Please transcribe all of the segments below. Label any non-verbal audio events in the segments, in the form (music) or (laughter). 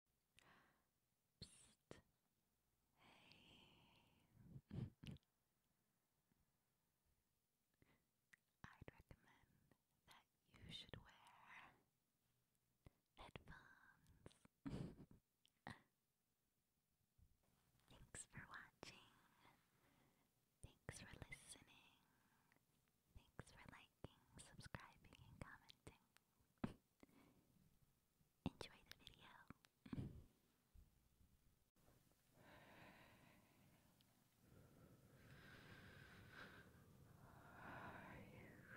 Hey. I'd recommend that you should wear headphones. (laughs) Thanks for watching. Thanks for listening. Thanks for liking, subscribing, and commenting. (laughs) Enjoy the video. Are you going to sleep? Is it okay if I play with you?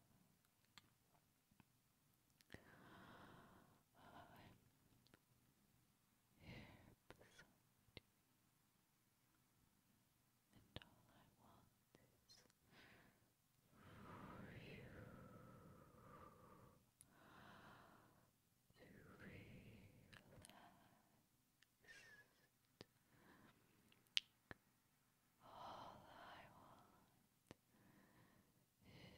and all I want is for you to relax. All I want is for you to be happy.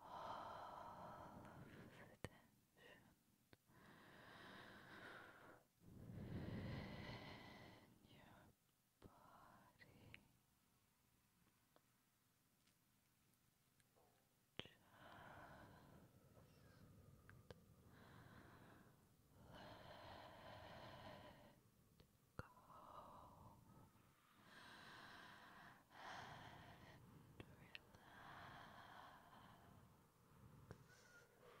all of the tension in your body just let go Keep your eyes closed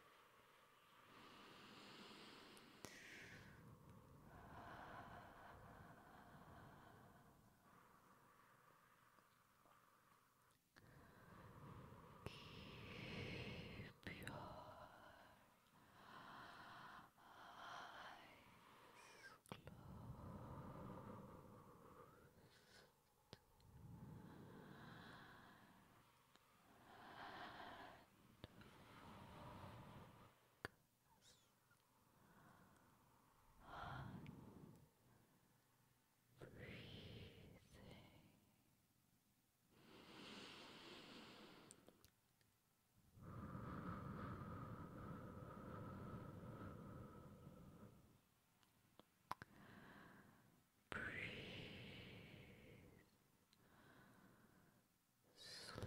on breathing. Breathing. Breathe slowly.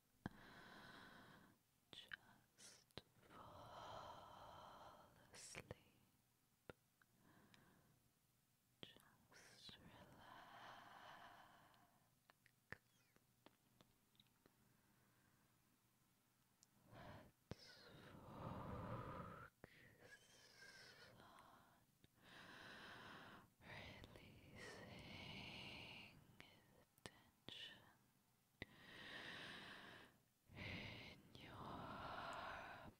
Just fall asleep. Just relax. Let's focus on tension in your body. Release the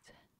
tension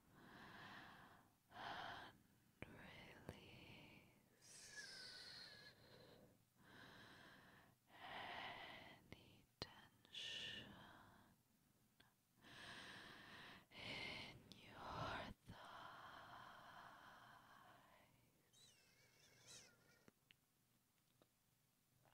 and release any tension in your thighs.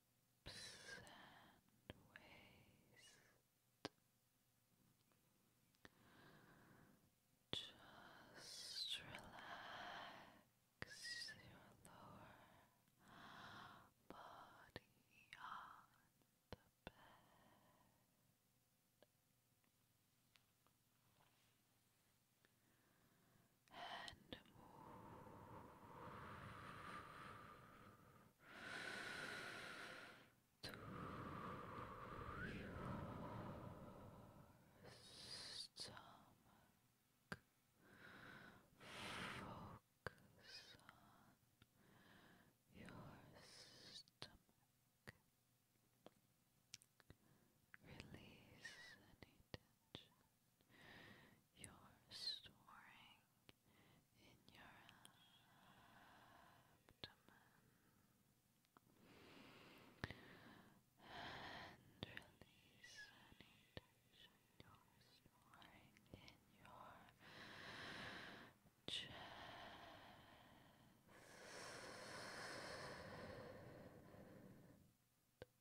Just relax your lower body on the bed and move to your stomach. Focus on your stomach. Release any tension you're storing in your abdomen and release any tension you're storing in your chest.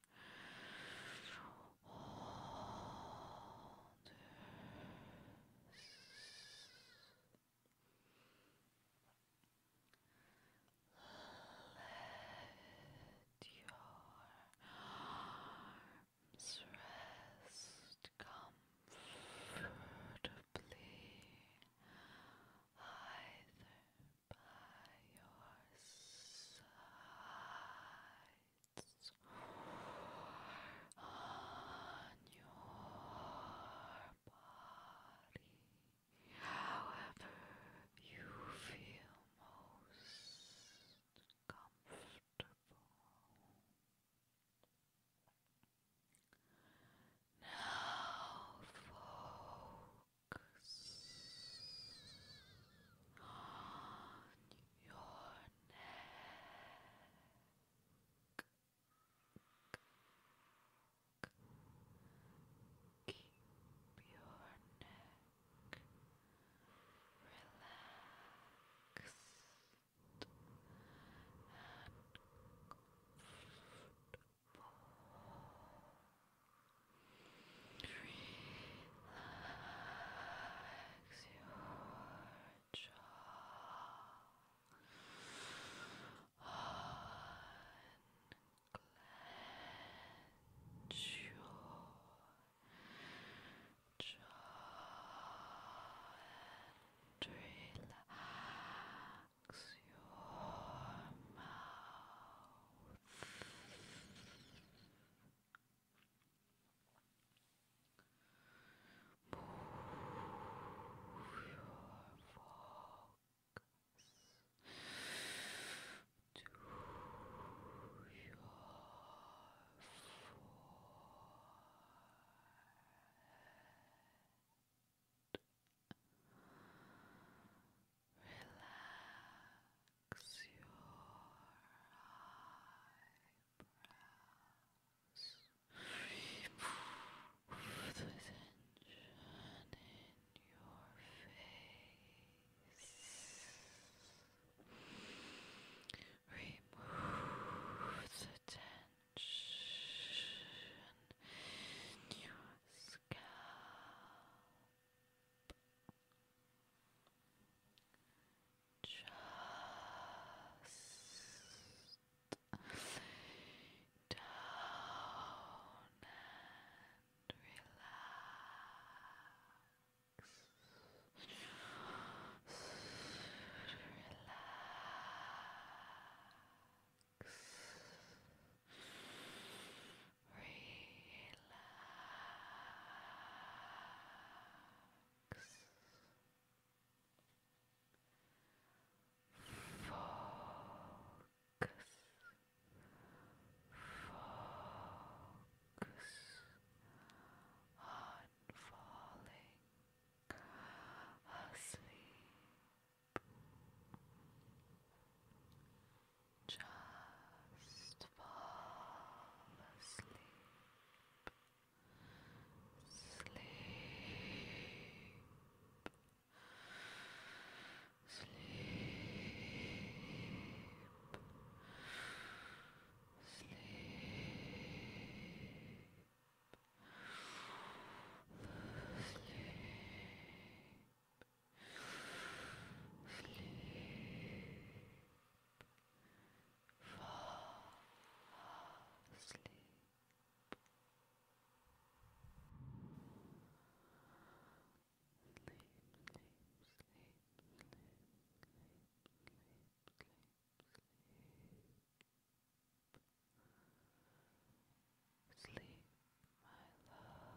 Hold let your arms rest comfortably either by your side body, however you feel most comfortable. Now focus on your neck. Keep your neck relaxed and comfortable. Relax your jaw unclench your jaw relax your mouth Move your focus to your forehead. Relax your eyebrows. Remove the tension in your face. Remove the tension in your scalp. Just down and relax. relax relax, focus, focus on falling asleep. Just fall asleep. Sleep. Sleep. Sleep. Sleep. Sleep. Fall asleep. Sleep, sleep, sleep, sleep, sleep, sleep, sleep, sleep. Sleep, my love.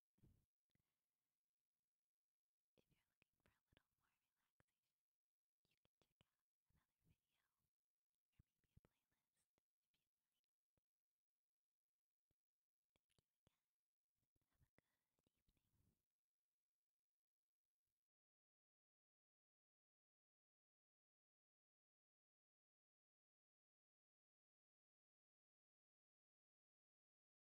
If you're looking for a little more relaxation, you can check out another video or maybe a playlist if you like. Until we meet again, have a good evening.